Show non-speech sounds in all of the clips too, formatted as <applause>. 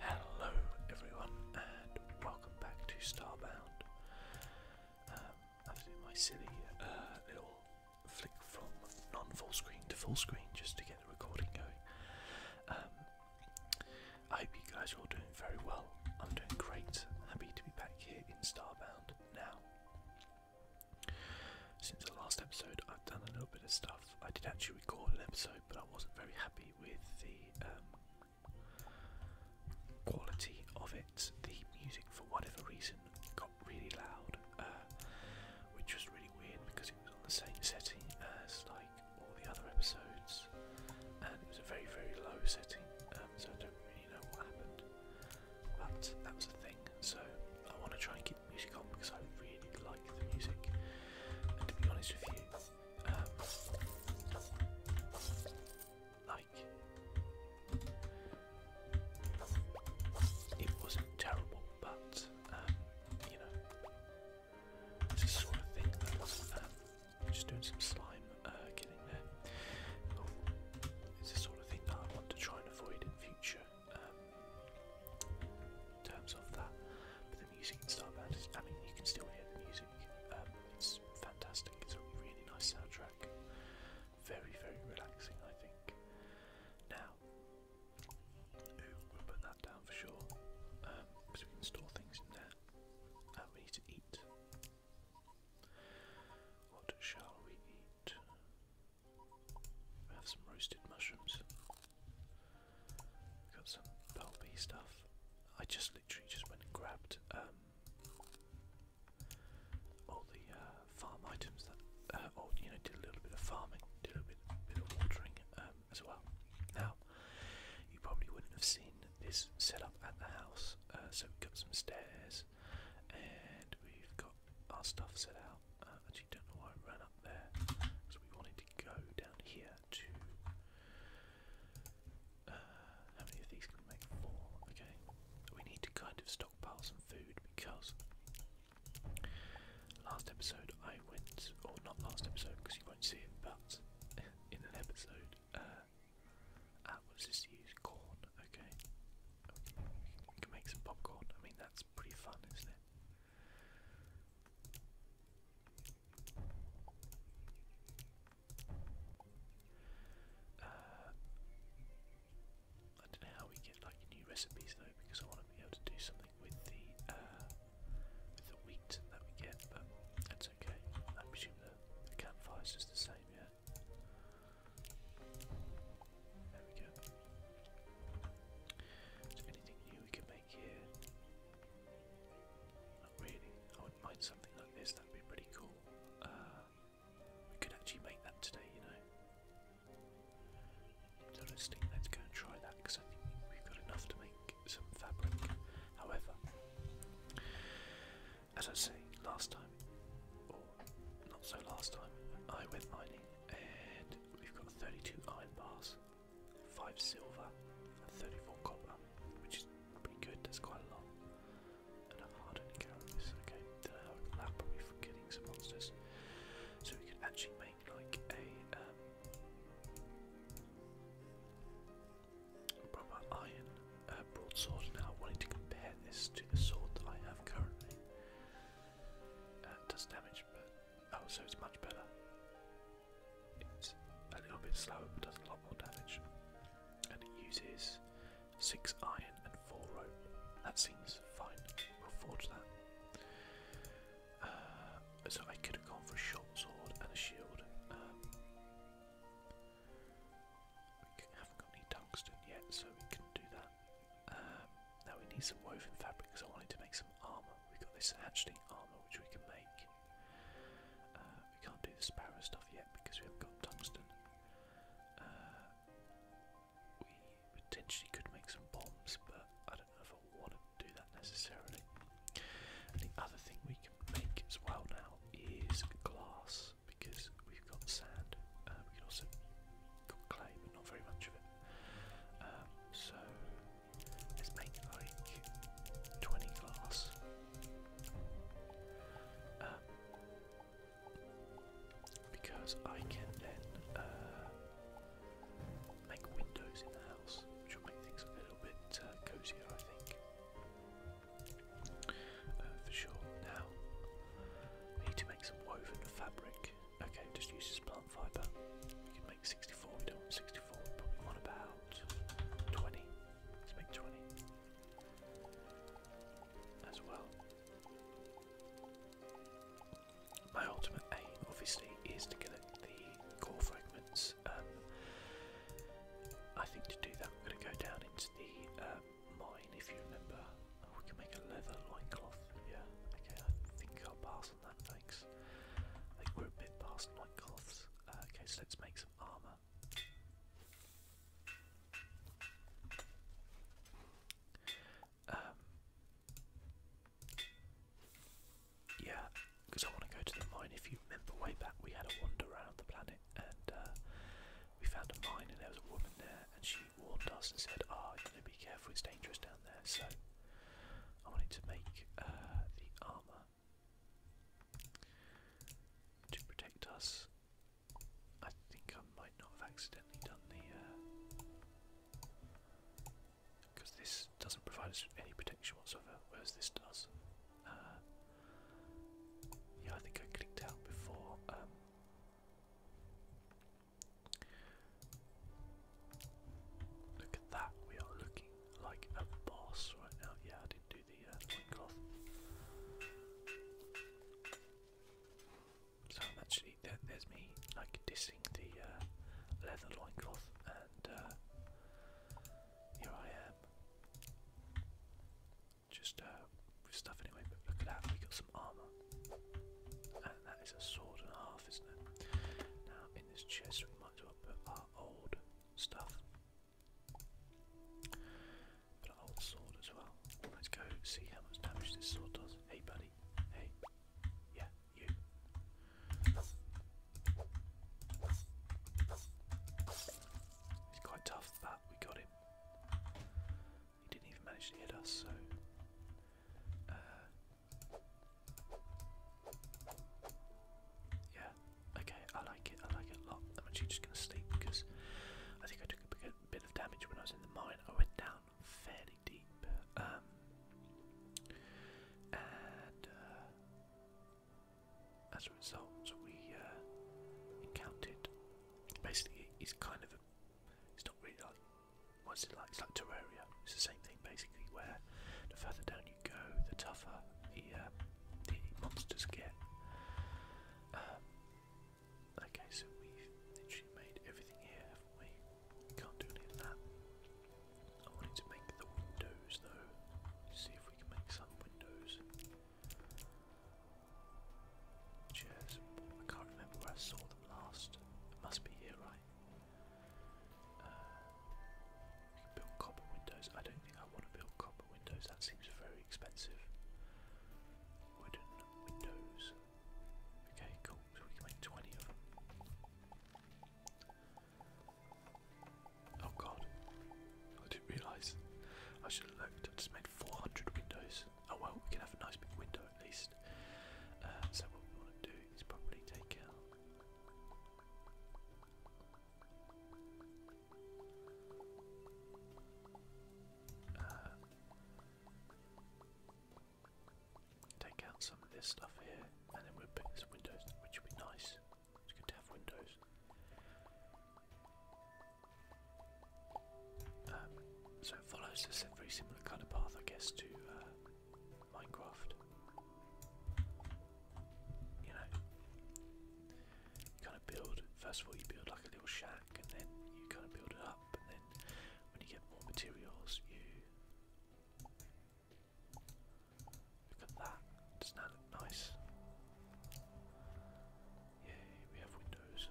Hello everyone and welcome back to Starbound. Um, that's in my silly uh, little flick from non-full screen to full screen just to get the recording going. Um, I hope you guys are all doing very well. I'm doing great. Happy to be back here in Starbound now. Since the last episode, I've done a little bit of stuff. I did actually record an episode, but I wasn't very happy with the um, quality of it. The music, for whatever reason, got really loud, uh, which was really weird because it was on the same setting as like all the other episodes, and it was a very, very low setting. Um, so I don't really know what happened, but that was the thing. So I want to try and keep the music on because I really like the music. And to be honest with you, uh, like it wasn't terrible, but um, you know, it's the sort of thing that um, just doing some slime, uh, getting there. Oh, it's the sort of thing that I want to try and avoid in future. Um, terms of that, music in Star I mean, you can still hear the music. Um, it's fantastic. It's a really nice soundtrack. Very, very relaxing, I think. Now, we'll put that down for sure. because um, we can store things in there. we need to eat. What shall we eat? We have some roasted mushrooms. Got some pulpy stuff. I just literally just went and grabbed um, all the uh, farm items that, uh, oh, you know, did a little bit of farming, did a little bit, of watering um, as well. Now, you probably wouldn't have seen this set up at the house. Uh, so we've got some stairs, and we've got our stuff set out. Uh, actually, don't know why I ran up there, so we wanted to go down here to. Uh, how many of these can we make? Four. Okay. We need to kind of stockpile some food because last episode I went, or not last episode because you won't see it, but <laughs> in an episode, uh, ah, what does Corn. Okay. we can make some popcorn. I mean, that's pretty fun, isn't it? Uh, I don't know how we get like new recipes though, because I want to be able to do something with the uh, with the wheat that we get, but that's okay. I presume the, the campfire is just the same, yeah. There we go. anything new we can make? Thank Not really. I wouldn't something like this, that'd be pretty cool. Uh, we could actually make that today, you know. So let's think, let's go and try that because I think we've got enough to make some fabric. However, as I say, last time, or not so last time, I went mining and we've got 32 iron bars. 5 silver, and 34 copper, which is pretty good, that's quite a lot. And I'm hard on carries, okay. Then I'll allow probably for killing some monsters. So we could actually make like a um, proper iron uh, broadsword now. Wanting to compare this to the sword that I have currently. Uh, does damage, but Oh, so it's much better. It's a little bit slower, but does a lot more damage. And it uses six iron and four rope. That seems fine. We'll forge that. Uh, so I could have gone for a short sword and a shield. Um, we haven't got any tungsten yet, so we can do that. Um, now we need some woven fabric because I wanted to make some armour. We've got this hatchling armour which we can make. Uh, we can't do the sparrow stuff yet because we haven't got tungsten. Uh, we potentially could make some bombs, but I don't know if I want to do that necessarily. the other thing we can make as well now is glass because we've got sand. Uh, we can also got clay, but not very much of it. Um, so Let's make like 20 glass. Um, because I can then uh, make windows in the house, which will make things a little bit uh, cozier, I think. Uh, for sure. Now, I need to make some woven fabric. Okay, just use this plant fibre. 64. We don't want 64. We probably want about 20. Let's make 20 as well. My ultimate aim, obviously, is to collect the core fragments. Um, I think to do that, we're going to go down into the uh, mine, if you remember. Oh, we can make a leather loincloth. Yeah, okay, I think I'll pass thanks. I think we're a bit past Nightcloths. Uh, okay, so let's make some armour. Um, yeah, because I want to go to the mine. If you remember way back, we had a wander around the planet and uh, we found a mine, and there was a woman there, and she warned us and said, "Ah, oh, you know, be careful, it's dangerous down there." So I wanted to make uh, the armour to protect us. I think I might not have accidentally done the. Because uh, this doesn't provide us any protection whatsoever, whereas this does. Uh, yeah, I think I clicked out before. Um, Look at that, we are looking like a boss right now. Yeah, I didn't do the, uh, cloth. So actually, there's me like dissing the uh, leather loin cloth, and uh, here I am. Just uh, with stuff anyway, but look at that, we got some armour. And that is a sword and half, isn't it? Now in this chest might as put our old stuff. Put our old sword as well. Let's go see how much damage this sword does. Hey buddy. Hey. Yeah, you. He's quite tough, but we got him. He didn't even manage to hit us, so uh, yeah, okay, I like it, I like it a lot. I'm actually just gonna sleep because I think I took a bit of damage when I was in the mine. I went down fairly deep. Um, and uh, as a result, we uh, encountered basically, it's kind of it's not really like what's it like? It's like Terraria. It's the same thing basically, where the further down you the tougher the, uh, monsters get. Uh, okay, so we've literally made everything here, haven't we? Can't do any of that. I wanted to make the windows though. See if we can make some windows. Chairs. I can't remember where I saw them last. must be here, right? we can uh, build copper windows. I don't think I want to build copper windows. That seems very expensive. Wooden windows. Okay, cool. So we can make 20 of them. Oh god. I didn't realise. I should have looked. I have just made 400 windows. Oh well, we can have a nice big window at least. Uh, so what we want to do is probably take out uh, take out some of this stuff here, and then we'll pick some windows, which would be nice. It's good to have windows. Um, so it follows a very similar kind of path, I guess, to uh, Minecraft. You know, you kind of build, first of all, you build like a little shack and then you kind of build it up, and then when you get more materials, you. Look at that, doesn't that look nice? Yay, we have windows.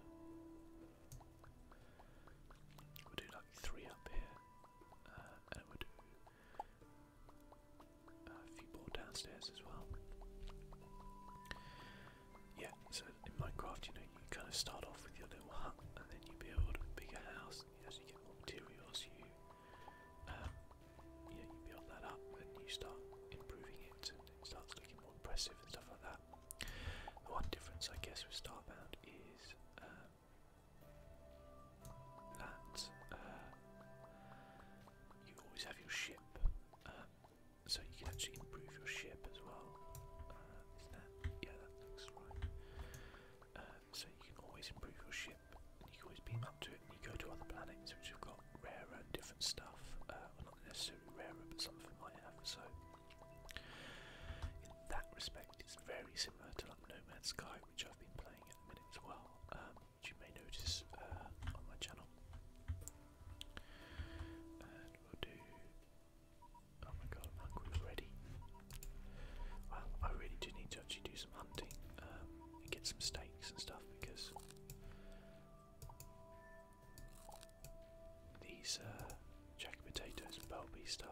we do like three up here, uh, and we do a few more downstairs as well. Yeah, so in Minecraft, you know, you kind of start off with your little hut, and then you build a bigger house. as you get more materials, you um, build that up, and you start improving it, and it starts looking more impressive and stuff like that. The one difference, I guess, with Starbound is uh, that uh, you always have your ship, uh, so you can actually improve your ship as well. Uh, is that? Yeah, that looks right. so you can always improve your ship, and you can always beam up to it, and you go to other planets which have got rarer and different stuff. not necessarily rarer, but something of might have. So in that respect, it's very similar to like Sky, which I've been playing admin as well, um, which you may notice uh, on my channel. And we'll do. Oh my god, i hungry already. Well, I really do need to actually do some hunting um, and get some steaks and stuff because these uh, jack potatoes and bell bee stuff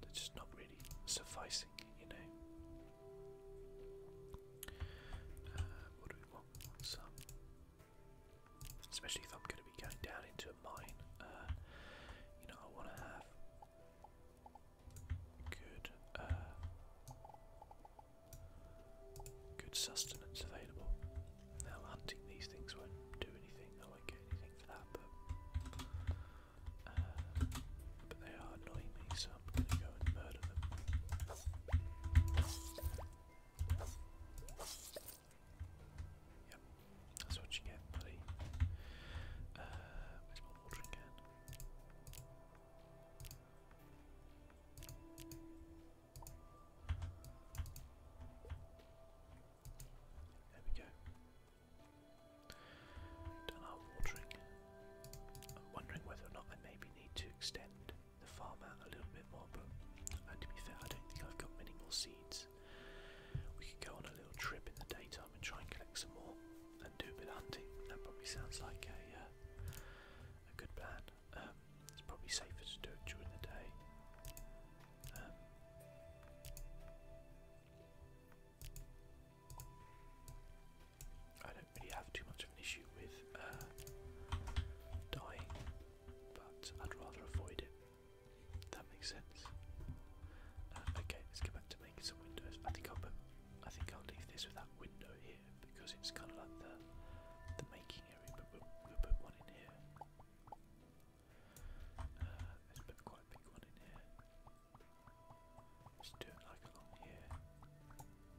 they're just not really sufficing, you know. Uh, what do we want? Some, especially if I'm going to be going down into a mine. Uh, you know, I want to have good, uh, good sustenance available. Now, hunting these things won't do anything. I won't get anything for that, but but they are annoying me, so I'm gonna go and murder them. Yep, that's what you get, buddy. Uh, where's my watering can? There we go. Done our watering. I'm wondering whether or not I maybe need to extend the farm out a little bit more, but to be fair, I don't think I've got many more seeds. We could go on a little trip in the daytime and try and collect some more and do a bit of hunting. That probably sounds like a, uh, a good plan. Um, it's probably safer to do it during the day. Um, I don't really have too much of an issue with uh, dying, but I'd rather avoid it. That makes sense. Uh, okay, let's go back to making some windows. I think I'll put, I think I'll leave this with that window here because it's kind of like the the making area. But we'll, put one in here. Uh, let's put quite big one in here. Just do it like along here.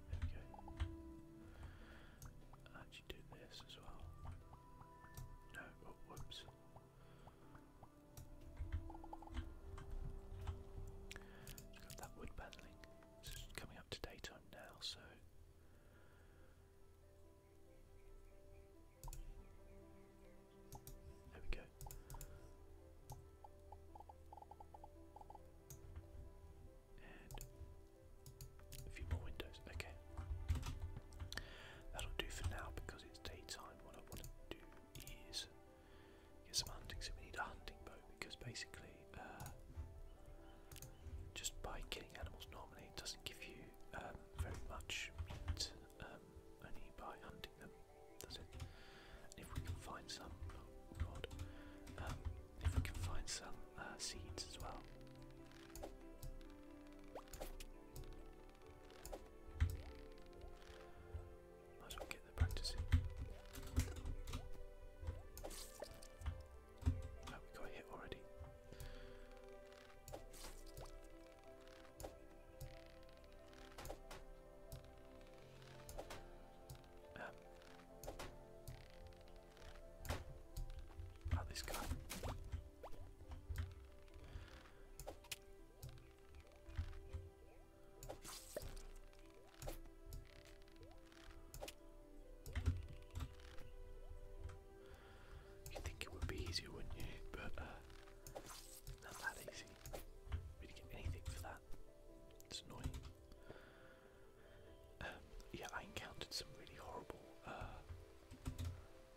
There we go. I'll do this as well. No, oh, whoops. Just got that wood paneling. It's coming up to daytime now, so. There we go. And a few more windows. Okay. That'll do for now because it's daytime. What I want to do is get some hunting. So we need a hunting bow because basically, uh, just by killing animals normally, it doesn't give you um, very much meat um, only by hunting them. That's it. If we can find some, oh god, um, if we can find some uh, seeds as well. Might as get the practice in. Oh, we got hit already. Um. this guy. you think it would be easier, wouldn't you? But uh, not that easy really get anything for that. It's annoying. Um, yeah, I encountered some really horrible uh,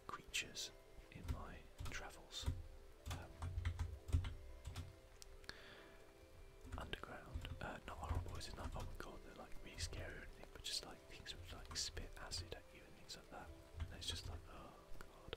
creatures in my travels. Um, underground, uh, not horrible, it's not, oh my god, they're like really scary but just like things which like spit acid at you and things like that. And it's just like, oh god.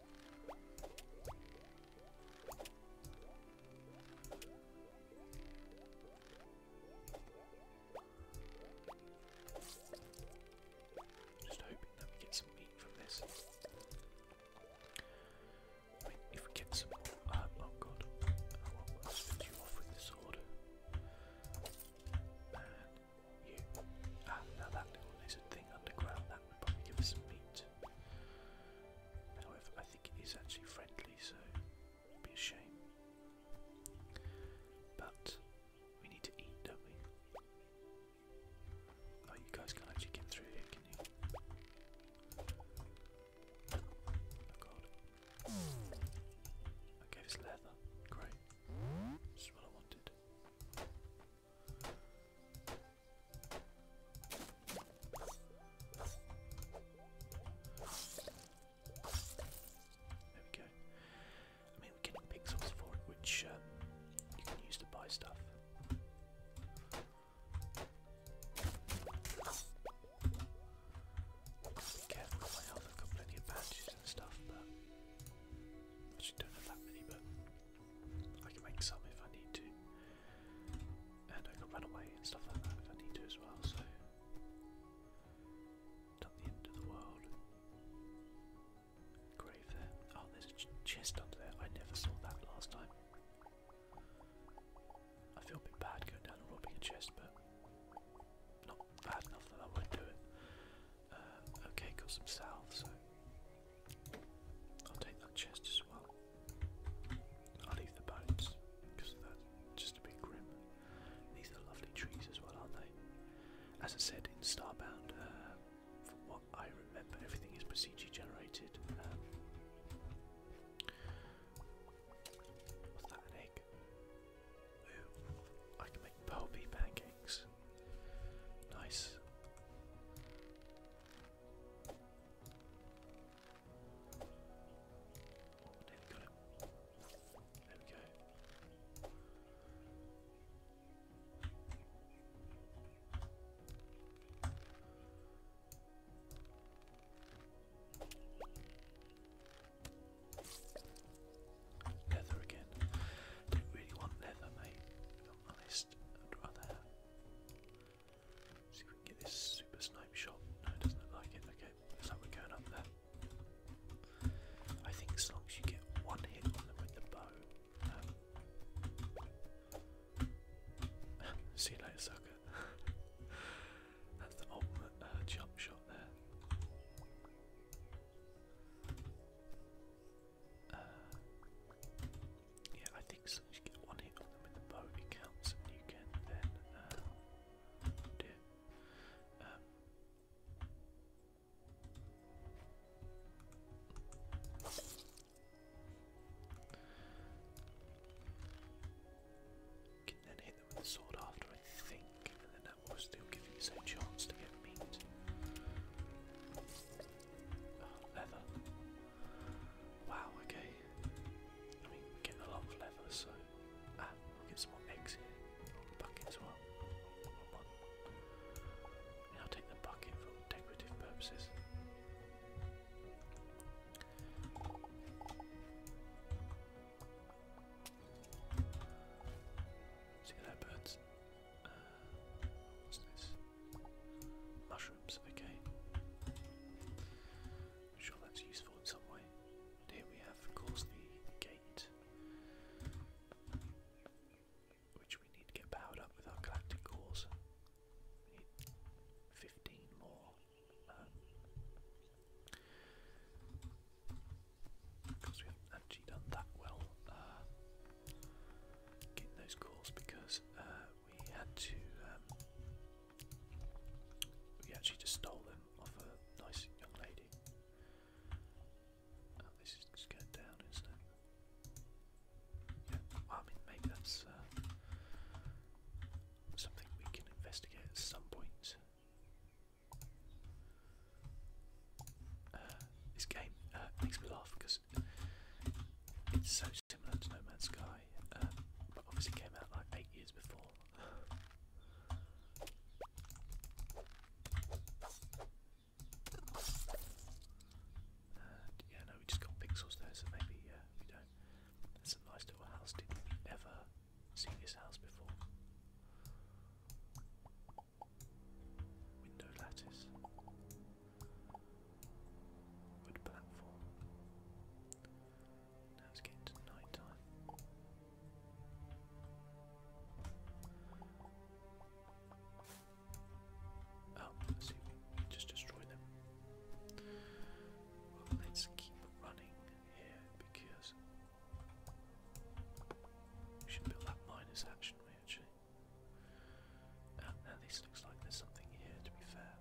Just hoping that we get some meat from this. if we get some. Uh, oh god. I won't you off with the sword. And you. Ah, now that little lizard thing underground, that would probably give us some meat. However, I think it is actually friendly, so it would be a shame. But we need to eat, don't we? Oh, you guys can't actually get through can you? Oh god. Okay, it's leather. Great. This what I wanted. There we go. I mean, we're getting pixels for it, which um, you can use to buy stuff. Be careful my health, i of bandages and stuff, but I actually don't have that many, but I can make some if I need to. And I can run away and stuff like that if I need to as well, so. Not the end of the world. Grave there. Oh, there's a chest under there. I never saw that last time. I feel a bit bad going down and robbing a chest, but not bad enough that I won't do it. Uh, okay, got some salve, I'll take that chest as well. I'll leave the bones because that's just a bit grim. These are lovely trees as well, aren't they? As I said in Starbound, uh, from what I remember, everything is procedurally generated. Um, was that an egg? Ooh, I can make pearl pancakes. Nice. Oh, nearly again. Don't really want leather, mate. If honest, I'd See if we can get this super snipe shot. No, it doesn't look like it. Okay, looks like we're going up there. I think as long as you get one hit with the bow. Um, <laughs> see you later, sucker. <laughs> That's the ultimate uh, jump shot there. Uh, yeah, I think so. you get one hit on them with the bow, it counts, and you can then uh, do um, can then hit them with the sword after, I think, and then that will still give you a chance to get meat. Oh, leather. Wow, okay. I mean, we're getting leather, so. Ah, we'll get some more eggs here. Bucket as well. I'll take the bucket for decorative purposes. See that birds? Uh, what's this? Mushrooms, okay. I'm sure that's useful in some way. here we have, of course, the gate. Which we need to get powered up with our galactic cores. 15 more. because um, we haven't actually done that well uh, getting those cores because uh, we had to um, we actually just stole them off a nice young lady. Uh, this is going down, isn't it? Yeah, I mean, maybe that's uh, something we can investigate at some point. Uh, this game makes me laugh because it's so similar to No Man's Sky, uh, but obviously came out like eight years before. and yeah, no, we just got pixels there, so maybe uh, we don't. That's a nice little house. did we ever see this house before? Window lattice. Wood platform. Now it's getting to night Oh, see, just destroy them. let's keep running here because we should build that miners action, we and now this looks like there's something here, to be fair.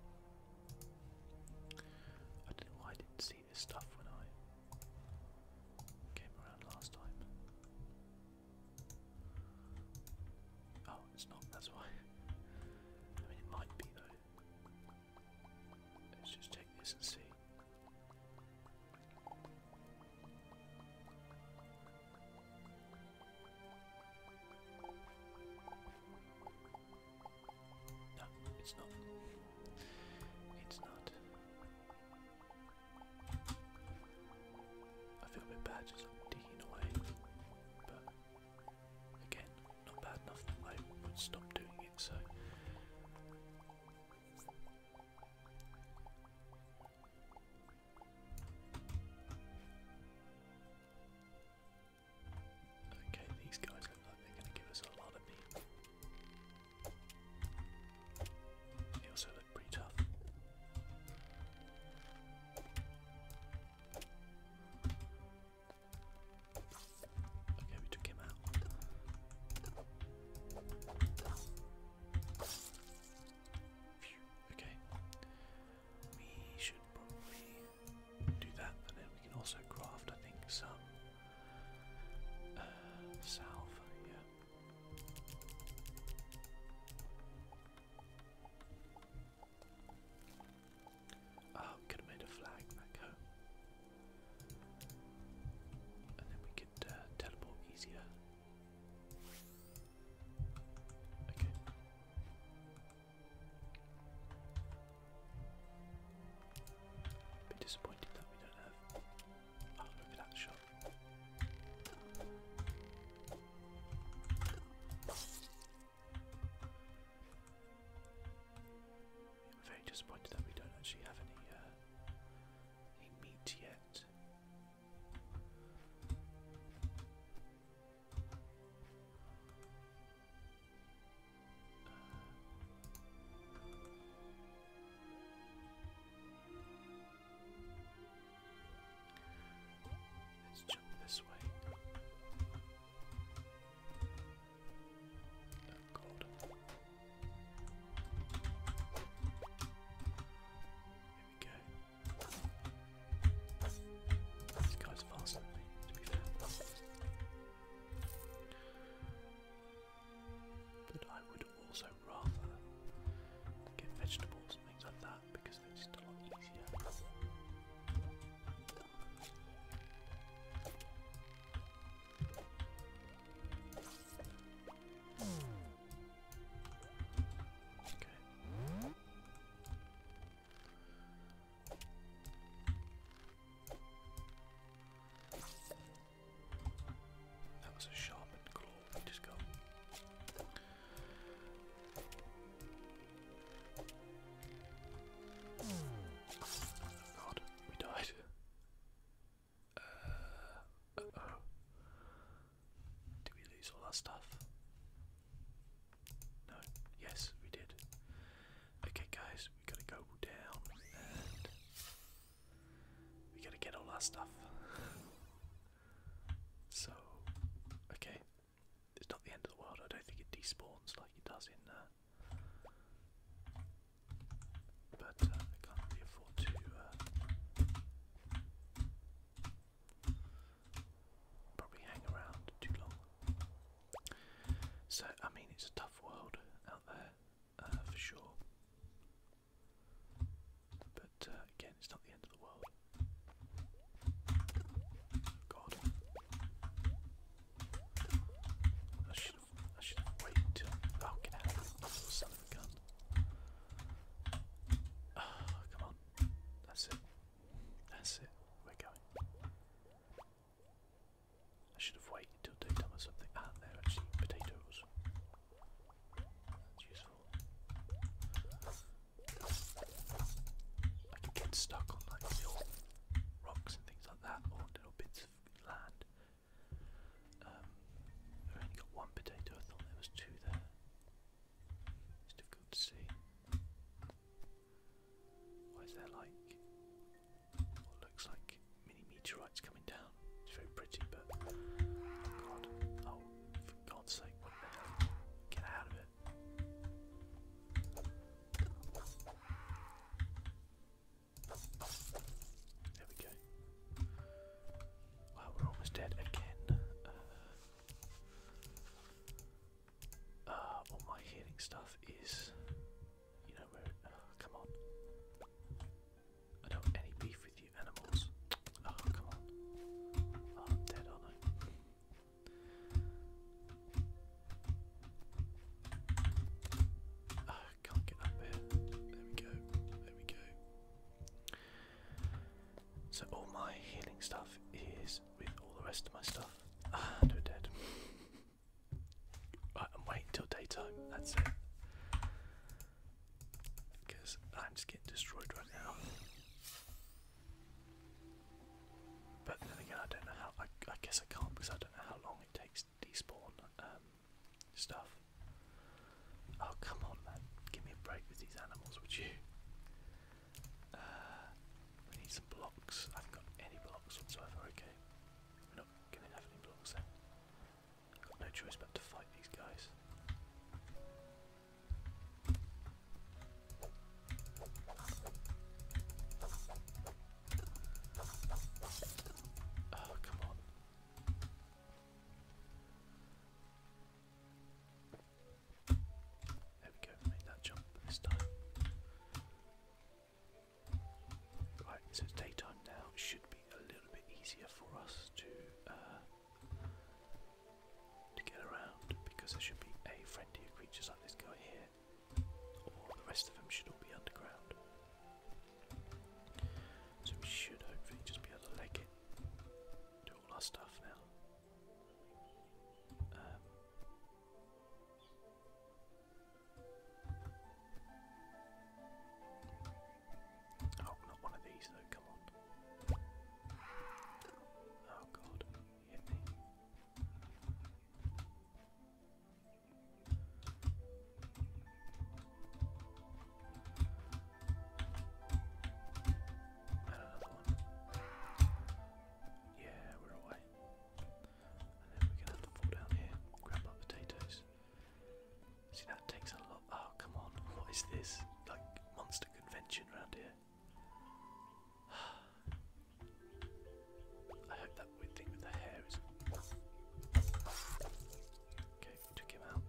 I don't know why I didn't see this stuff when I came around last time. Oh, it's not, that's why. <laughs> I mean, it might be though. Let's just check this and see. No, it's not. It's not. I feel a bit bad just digging away, but again, not bad enough that I would stop doing it, so. Okay, these guys look like they're going to give us a lot of meat. They also look pretty tough. Okay, we took him out. okay do that, and then we can also craft, I think, some uh, salve. Yeah. Oh, ah, could have made a flag back home. And then we could uh, teleport easier. Okay bit disappointed that we don't have. Oh, look at that shot. I'm very disappointed that we don't actually have any uh, meat yet. Let's jump this way. Oh, gold. Here we go. This guy's faster But I would also rather get vegetables and things like that because they're just a lot easier. Okay. That was a sharpened claw we just got. God, we died. Uh, uh, oh. Did we lose all that stuff? No. Yes, we did. Okay, guys, we gotta go down and we gotta get all our stuff. <laughs> so, okay, it's not the end of the world. I don't think it despawns like it does in. Uh, but uh, can't afford to. Uh, probably hang around too long. So, I mean, it's a tough world out there uh, for sure. But uh, again, it's not the end of the world. God. I should I should have waited till Oh get Oh, come on. That's it. That's it, we're going. I should have waited till they tell something. Ah, they actually potatoes. That's useful. I can get stuck on like little rocks and things like that, or little bits of land. Um, i only got one potato, I thought there was two there. It's difficult to see. What is there like? What looks like mini meteorites coming down. It's very pretty, but oh for God's sake, Get out of it. There we go. Wow, we're almost dead again. Uh, uh, all my healing stuff is, you know, uh, come on. I don't have any beef with you animals. Ah, come on. Ah, I'm dead, aren't ah, can't get up here. There we go. There we go. So all my healing stuff is with all the rest of my stuff. Ah, they're dead. I'm waiting till daytime, that's it. Because I'm just getting destroyed right now. But then again, I don't know how. I, guess I can't because I don't know how long it takes to despawn um, stuff. Oh, come on, man. Give me a break with these animals, would you? Uh, need some blocks. I have got any blocks whatsoever, okay. We're not gonna have any blocks no choice but to fight these guys. Oh, come on. There we go, made that jump this time. Right, so it's daytime now. It should be a little bit easier for us to uh, to get around because there should be a friendlier creatures like this guy here, or the rest of them should all be underground. So we should hopefully just be able to leg it, do all our stuff now. Um, oh, not one of these though, come on. Oh god, you another one. Yeah, we're away. And then we're gonna have to fall down here, grab my potatoes. See, that takes a lot. Oh, come on. What is this? Like, monster convention around here. <sighs> I hope that weird thing with the hair is. Okay, took him out.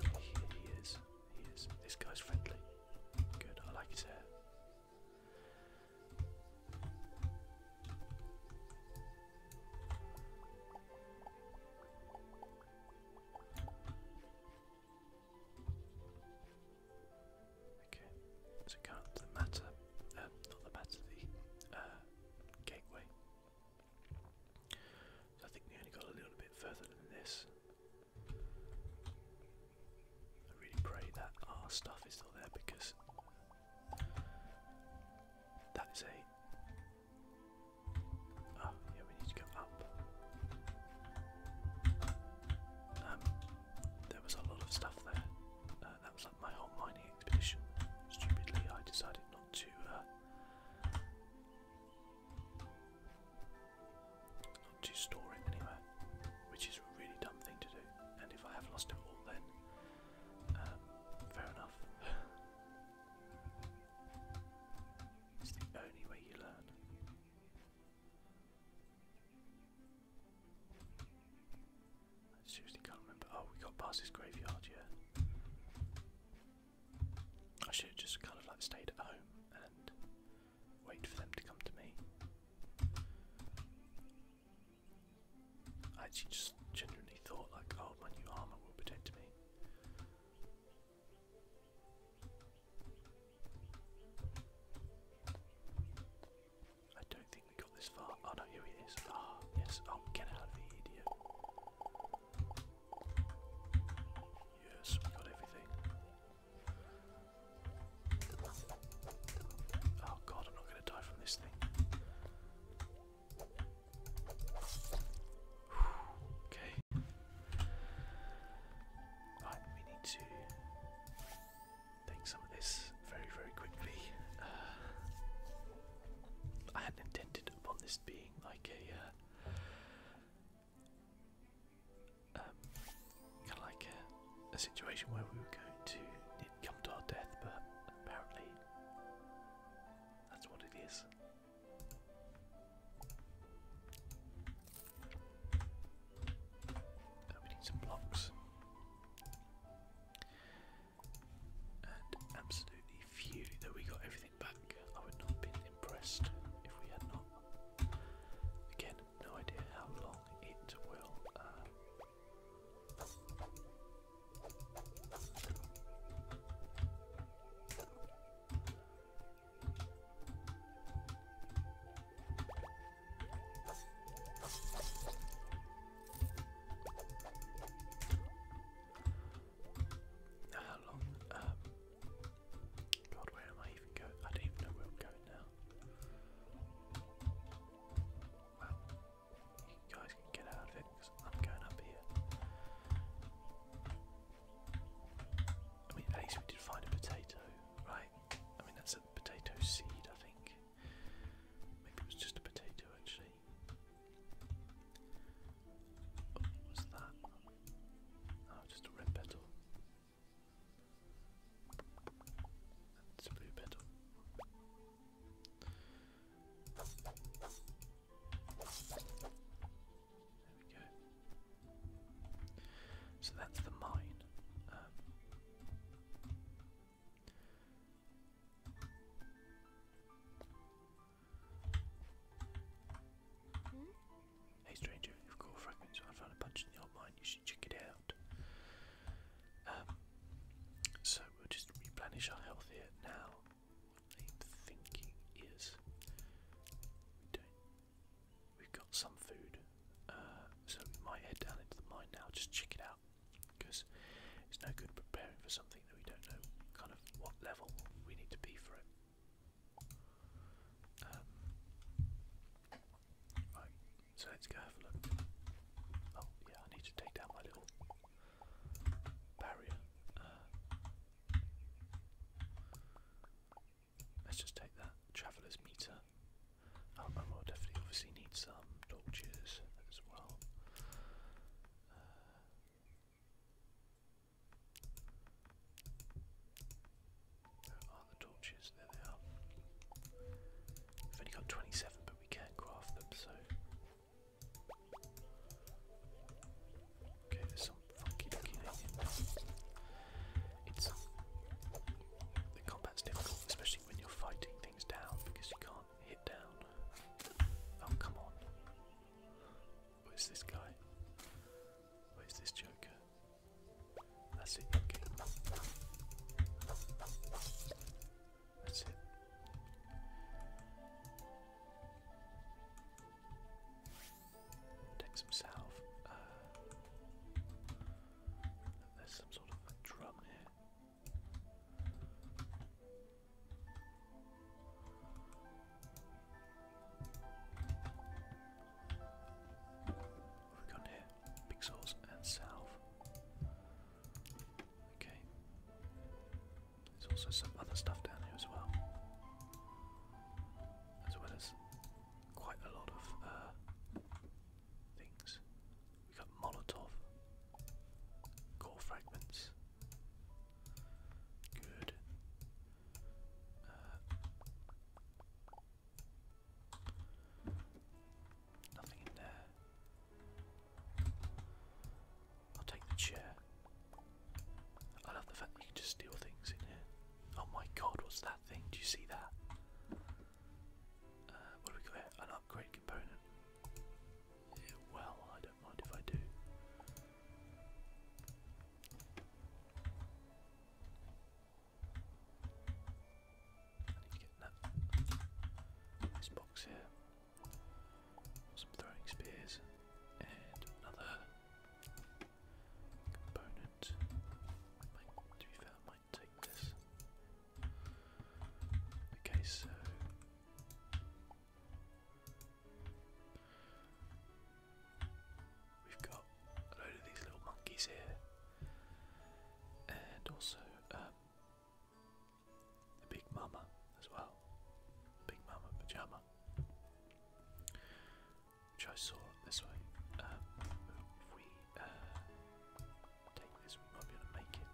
Here he is. He is. This guy's friendly. Good. I like his hair. Okay, so the matter, um, not the matter, the uh, gateway. I think we only got a little bit further than this. I really pray that our stuff is still there because that is a. Oh, yeah, we need to go up. Um, there was a lot of stuff there. Uh, that was like my whole mining expedition. Stupidly, I decided not to. Uh, to store it anywhere, which is a really dumb thing to do. And if I have lost it all, then um, fair enough. <laughs> it's the only way you learn. I seriously can't remember. Oh, we got past this graveyard, yeah. I should just kind of like stayed at home and wait for them to come to me. I actually just genuinely thought like, oh, my new armor will protect me. I don't think we got this far. Oh no, here he is. Ah, yes. Oh, get out of here, idiot. Yes, we got everything. Oh god, I'm not going to die from this thing. Okay. we need to take some of this very, very quickly. Uh, I hadn't intended upon this being like a uh, um, kind of like a, situation where we were going to come to our death, but apparently that's what it is. Uh, we need some blocks. And absolutely few that we got everything back. I would not have impressed if we had not. Again, no idea how long it will. Um, how long um, God, where am I even going? I don't even know where I'm going now. Well, you guys can get out of it I'm going up here. I mean, at least we did find a potato, right? I mean, that's a potato seed, I think. Maybe it was just a potato, actually. what's that? Oh, just a red petal. That's blue petal. There we go. So that's the mine. Um, hmm? Hey stranger, if cool I found a bunch in the old mine, you should check it out. Um, so we'll just replenish our health here now. What I'm thinking is we have got some food, uh, so we might head down into the mine now, just check it out. Because it's no good preparing for something that we don't know kind of what level we need to be for it. Um, right, so let's go have a look. Oh, yeah, I need to take down my little barrier. Uh, let's just take that traveller's meter. Oh, I will definitely obviously need some torches as well. Uh, are the torches, there they are. We've only got 27, but we can craft them, so. Okay, there's some funky looking aliens. It's. The combat's difficult, especially when you're fighting things down because you can't hit down. Oh, come on. Where's this guy? Where's this Joker? That's it, That's it. Take some uh, there's some sort of drum here. What have got here? Pixels and salve. Okay. There's also some other stuff down here as well. As well as quite a lot of uh, things. We got Molotov, core fragments. Good. Uh, nothing in there. I'll take the chair. I love the fact that can just steal things in here. Oh my god, what's that thing? Do you see that? Uh, what do we got here? An upgrade component. well, I don't mind if I do get that. This box here. Some throwing spears and another component. to be fair, might take this. Okay, so We've got a load of these little monkeys here, and also um, the Big Mama as well. Big Mama Pajama, which I saw this way. Um, if we uh, take this, we might be able to make it.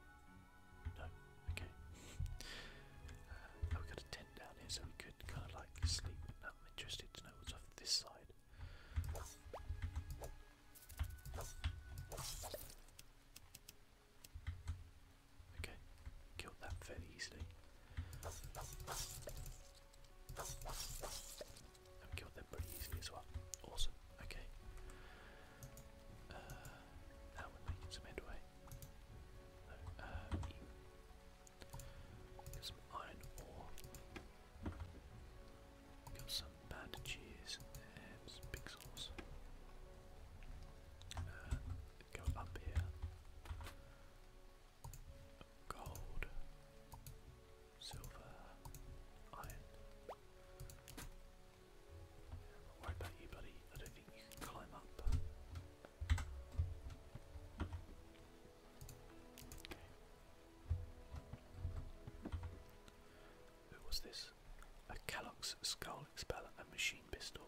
No, okay. uh, oh, got a tent down here, so we could kind of like sleep I'm interested to know what's off this side. Okay, killed that fairly easily. killed them pretty easily as well. Awesome, okay. now we're making some headway. Uh, Get some iron ore. Got some bandages and some pixels. Uh, go up here. Gold, silver, iron. Don't worry about you, buddy. I don't think you can climb up. Who was this? A Kellogg's skull expeller and machine pistol.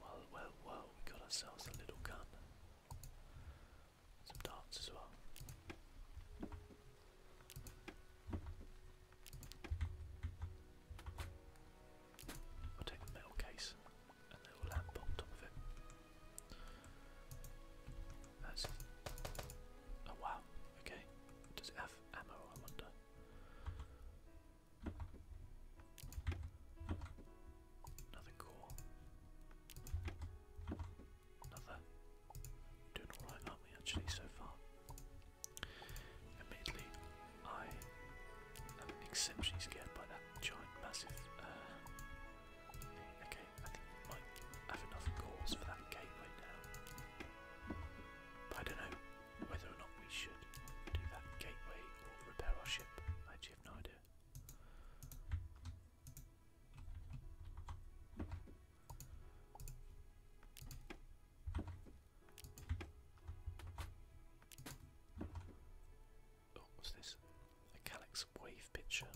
Well, well, well, we got ourselves a little gun. Some darts as well. I'll take the metal case a little lamp on top of it. That's oh wow, okay. Does it have ammo, I wonder? Another core. Another. Doing alright, aren't we, actually, so far? Admittedly, I I'm exceptionally scared by that giant, massive. Uh, okay, I think we have enough cores for that gateway now. But I don't know whether or not we should do that gateway or repair our ship. I have no Oh, what's this? A Calyx wave picture.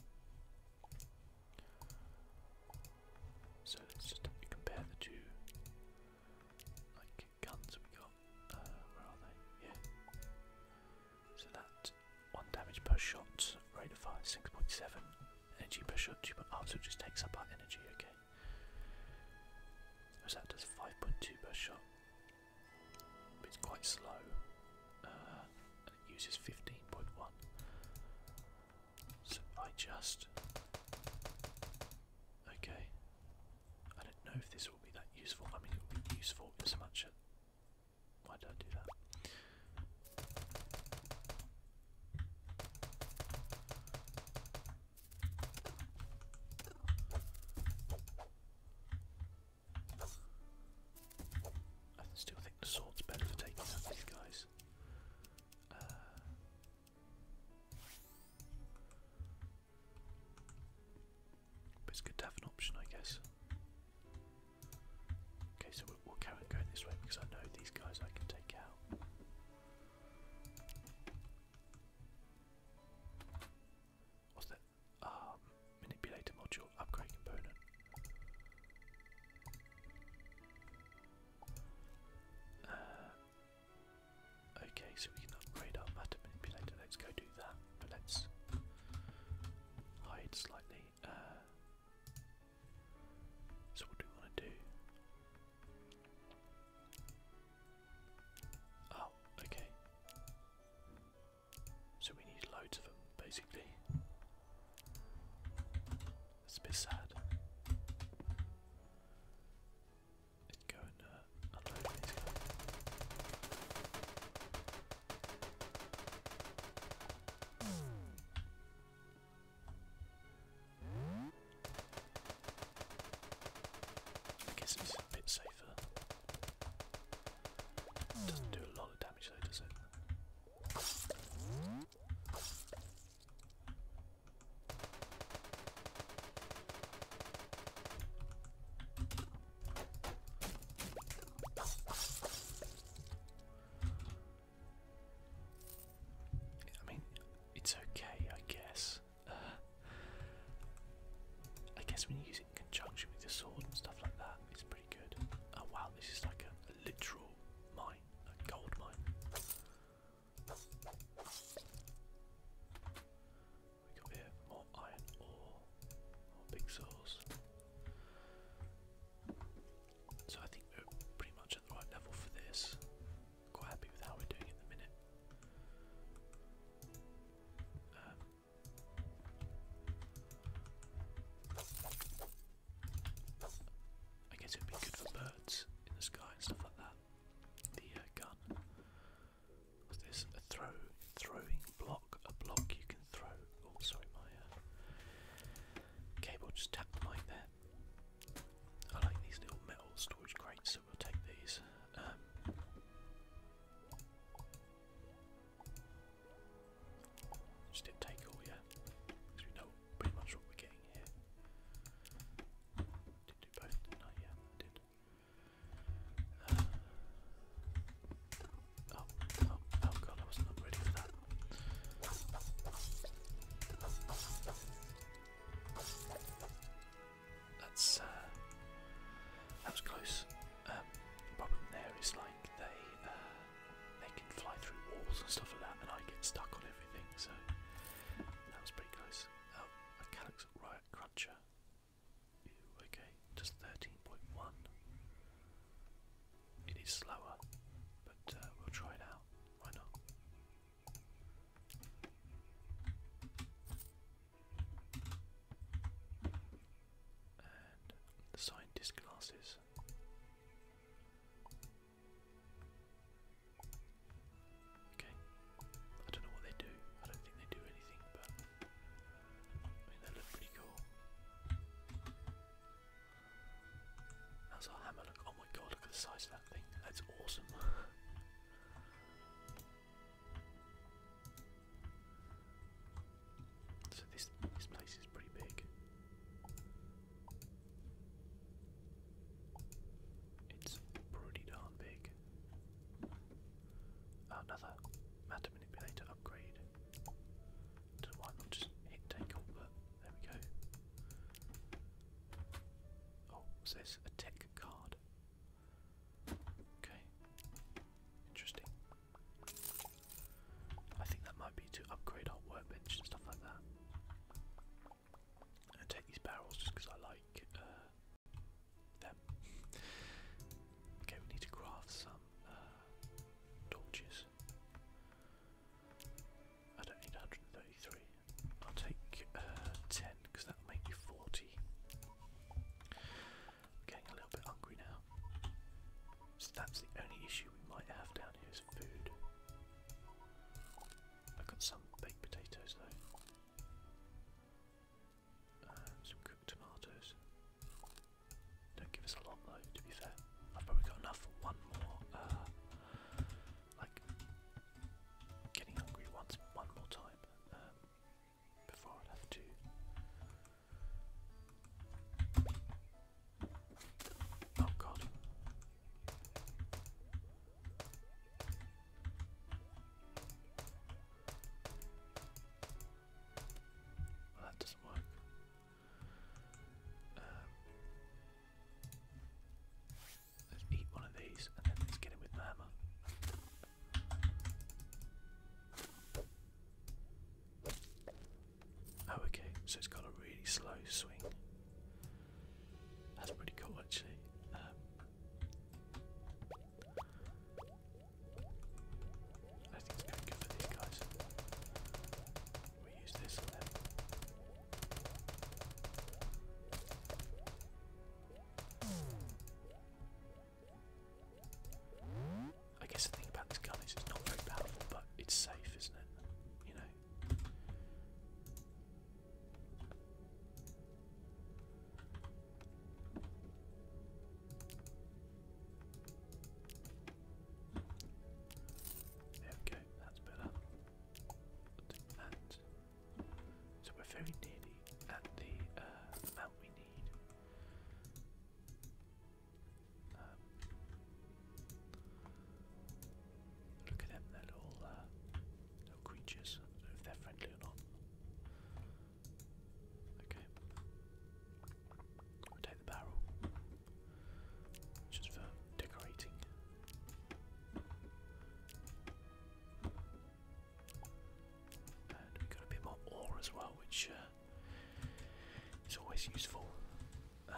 So let's just compare the two like guns we got. Uh, where are they? Yeah. So that one damage per shot, rate of fire six point seven, energy per shot two point oh, so it just takes up our energy, okay. So that does five point two per shot it's quite slow. Uh, and it uses 15.1. So I just. Okay. I don't know if this will be that useful. I mean, it will be useful in much. Why don't do that? I still think the sword's better for taking out these guys. Uh, but it's good to have an option, I guess. Okay, so we'll, we going this way because I know these guys I can take out. Was that um, manipulator module, upgrade component. Uh, okay, so we can upgrade our matter manipulator. Let's go do that. But let's hide slightly. Uh, so what do we want to do? Oh, okay. So we need loads of them, basically. It's a bit sad. Let's go and unload these I guess it's a bit safer. Doesn't do a lot of damage though, does it? I mean, it's okay, I guess. Uh, I guess when you conjunction with the sword and stuff like that. It's pretty good. Oh wow, this is like a, literal mine, a gold mine. We got more iron ore, more big saws. So I think we're pretty much at the right level for this. Quite happy with how we're doing at the minute. Um, I guess it would be good for birds in the sky and stuff like that. The uh, gun. What's this? A throw, throwing block. A block you can throw. Oh, sorry, my uh, cable just tapped the mic there. I like these little metal storage crates, so we'll take these. Um, just hit take all, yeah? Because we know pretty much what we're getting here. Did do both, didn't I? did. Uh, oh, oh, oh god, I was not ready for that. That's, uh, that was close. Um, the problem there is like they uh, they can fly through walls and stuff like that, and I get stuck on everything. So that was pretty close. Oh, a Calyx Riot Cruncher. okay, just thirteen point one. It is slower, but uh, we'll try it out. Why not? the scientist glasses. Okay, I don't know what they do. I don't think they do anything, but I mean they look pretty cool. How's our hammer look? Oh my god, look at the size of that thing. That's awesome. <laughs> So this this place is pretty big. It's pretty darn big. Another matter manipulator upgrade. why not just hit take all, there we go. Oh, so a tech card. Okay. Interesting. I think that might be to upgrade our workbench and stuff like that. I take these barrels just because I like uh, them. <laughs> okay, we need to craft some uh, torches. I don't need 133. I'll take uh, 10 because that'll make 40. I'm getting a little bit hungry now. that's the only issue we might have down here is food. I've got some baked potatoes though. Um, some cooked tomatoes. Don't give us a lot though, to be fair. I've probably got enough for one more, uh, like, getting hungry once, one more time. Um, before i have to Oh god. Well, that doesn't work. Um, let's eat one of these and then let's get him with the Oh, okay, so it's got a really slow swing. That's pretty cool, actually. Um, going good for these guys. We use this I guess the thing about this gun is it's not very powerful, but it's safe, isn't it? You know. There we go, that's better. And so we're very nearly at the uh, amount we need. Um, look at them, little, uh, little creatures. if they're friendly or not. Okay. We'll take the barrel. Just for decorating. And we've got a bit more ore as well, which uh, it's always useful. Um,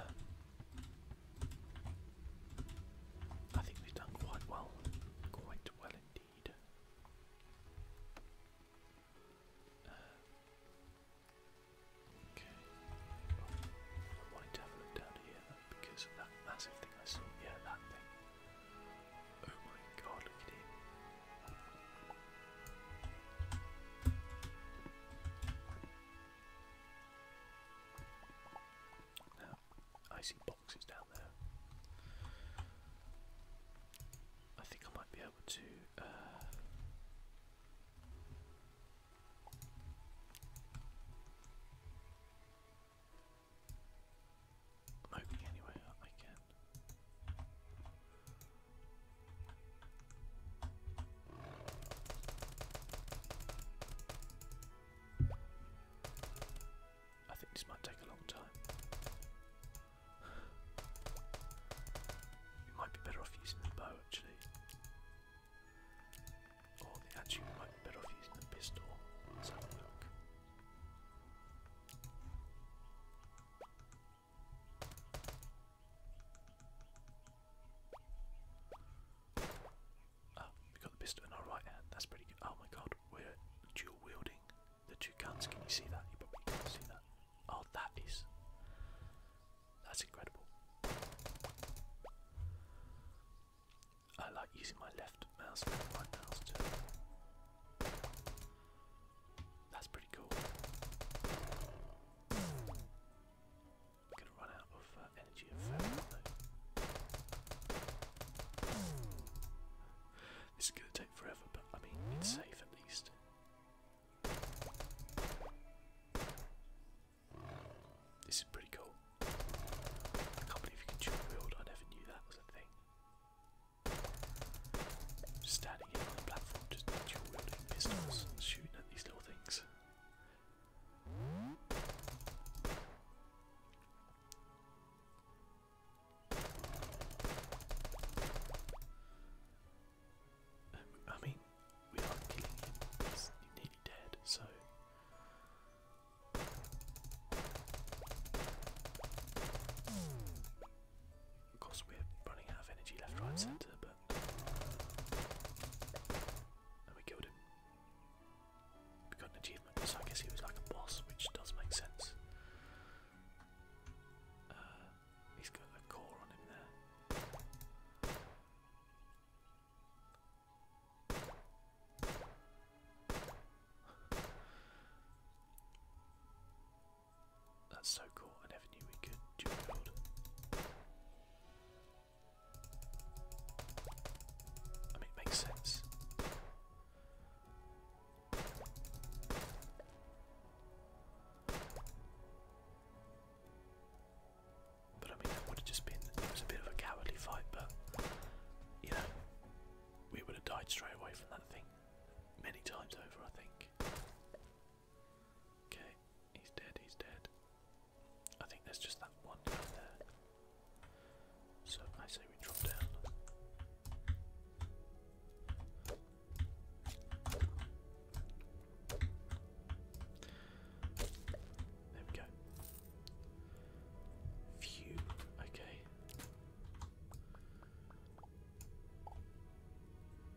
I think we've done quite well, quite well indeed. Uh, okay, well, I wanted to have a look down here though, because of that massive thing I saw. Yeah, that thing. Oh my god, look at it. Now, I see boxes down there. I think I might be able to. Uh, I'm hoping anyway I can. I think this might take a long time. We might be better off using the bow actually. Or the, actually might be better off using the pistol. Let's have a look. Oh, we got the pistol in our right hand. That's pretty good. Oh my god, we're dual wielding the two guns. Can you see that? You probably can't see that. Oh, that is. That's incredible. I like using my left mouse and right mouse too. That's pretty cool. gonna run out of uh, energy This is gonna take forever, but I mean it's safe at least. This is pretty cool. I can't believe you can dual wield. I never knew that was a thing standing on the platform, just shooting at these little things. Um, I mean, we are killing him, he's nearly so. Of course, we're running out of energy left, right, centre, but. And we killed him. We got an achievement, so I guess he was like a boss, which does make sense. Uh, he's got a core on him there. That's so cool. I never knew we could do wield. I mean, it makes sense. But I mean, that would have just been. It was a bit of a cowardly fight, but you know, we would have died straight away from that thing many times over, I think. Okay, he's dead, he's dead. I think there's just that one there. So I say we drop down. There we go. Phew, okay.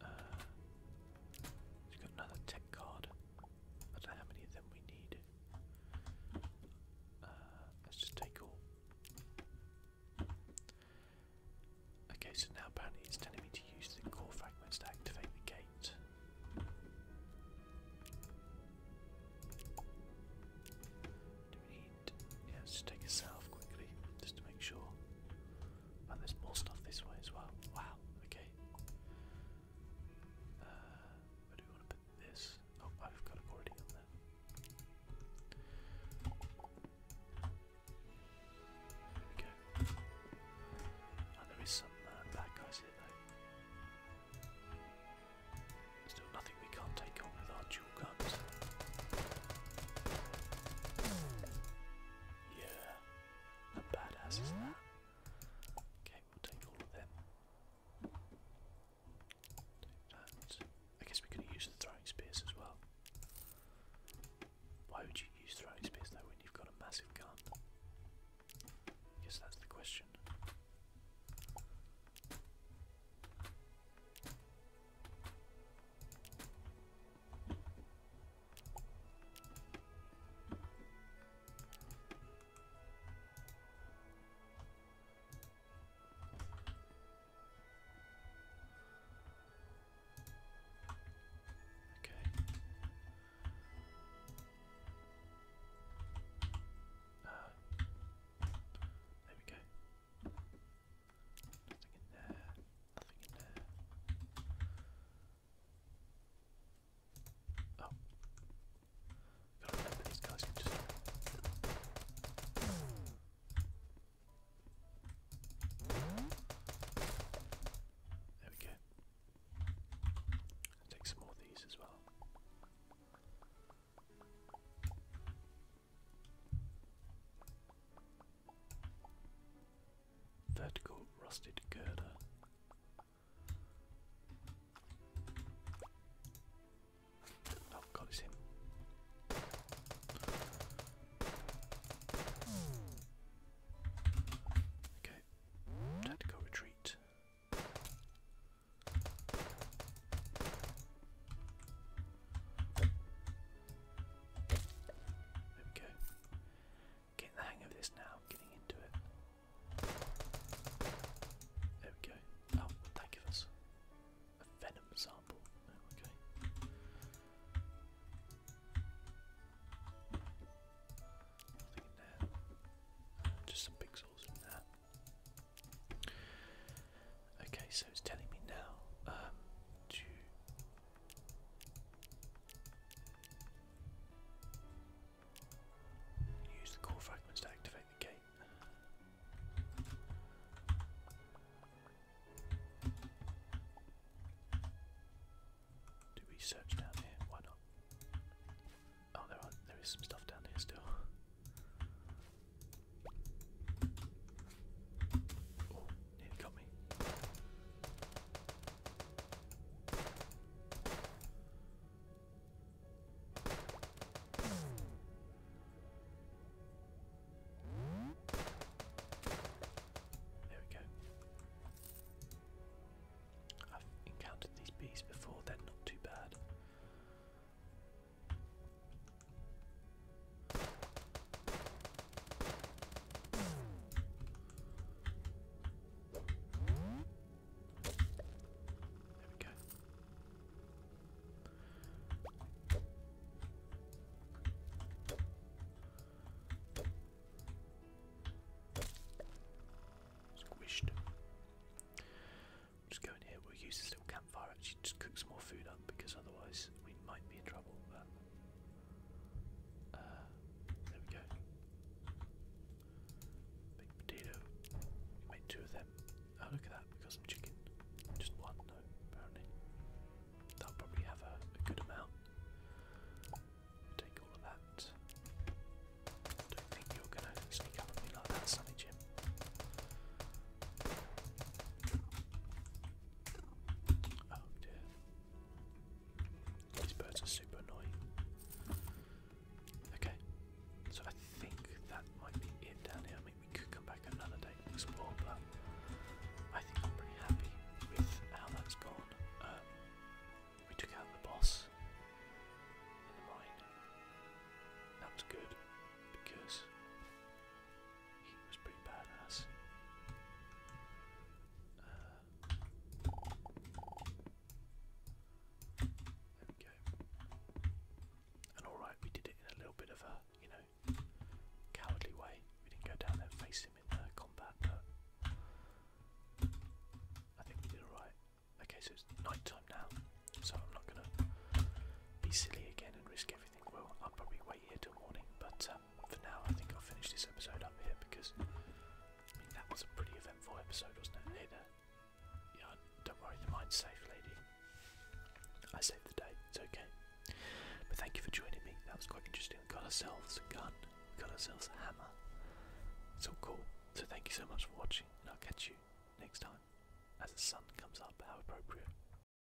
Uh, he got another tech card. I don't know how many of them we need. Uh, let's just take all. Okay, so now apparently it's telling me to use the core fragments to activate the gate. Yeah, let's just take a self quickly, just to make sure. And oh, there's more stuff this way as well. Wow, okay. Uh, where do we want to put this? Oh, I've got it already on there. There oh, we go. And there is some uh, bad guys here though. Still nothing we can't take on with our jaw. Yeah. Not badass Okay, we'll take all of them. I guess we could use the throwing spears as well. Why would you use throwing spears though when you've got a massive gun? I guess that's the question. Okay. Uh, there we go. Nothing in there. Nothing in there. Oh. Gotta remember these guys There we go. take some more of these as well. Vertical rusted girder. Oh god, it's him. Okay, tactical retreat. There we go. Getting the hang of this now, getting into it. There we go. Oh, that give us? A venom sample. okay. Nothing in there. Uh, just some pixels in there. Okay, so it's telling me now um, to use the core fragments to activate the gate. Do we down here? Why not? Oh, there are there is some stuff down here still. Oh, it got me. There we go. I've encountered these bees before, they're not too bad we go. Squished. Just go in here. We'll use this campfire actually just cook some more food up because otherwise we might be in trouble. Uh, there we go. Big potato. We two of them. Oh look at that, we got some chicken. Just one no, apparently. That'll probably have a, good amount. Take all of that. Don't think you're gonna sneak up on me that, Sunny Jim. Oh dear. These birds are super annoying. Okay, so I think that might be it down here. I mean, we could come back another day and explore, but I think I'm pretty happy with how that's gone. Um, we took out the boss in the mine. That was good because he was pretty badass. Uh, there we go. And alright, we did it in a little bit of a, you know, cowardly way. We didn't go down there face him in combat, but I think we did alright. Okay, so it's night time now, so I'm not gonna be silly again and risk everything everything will. I'll probably wait here till morning, but uh, for now, I think I'll finish this episode up here because I mean that was a pretty eventful episode, wasn't it? Hey uh, there. Yeah, don't worry, the mind's safe, lady. I saved the day. It's okay. But thank you for joining me. That was quite interesting. got ourselves a gun. got ourselves a hammer. It's all cool. So thank you so much for watching, and I'll catch you next time as the sun comes up. How appropriate.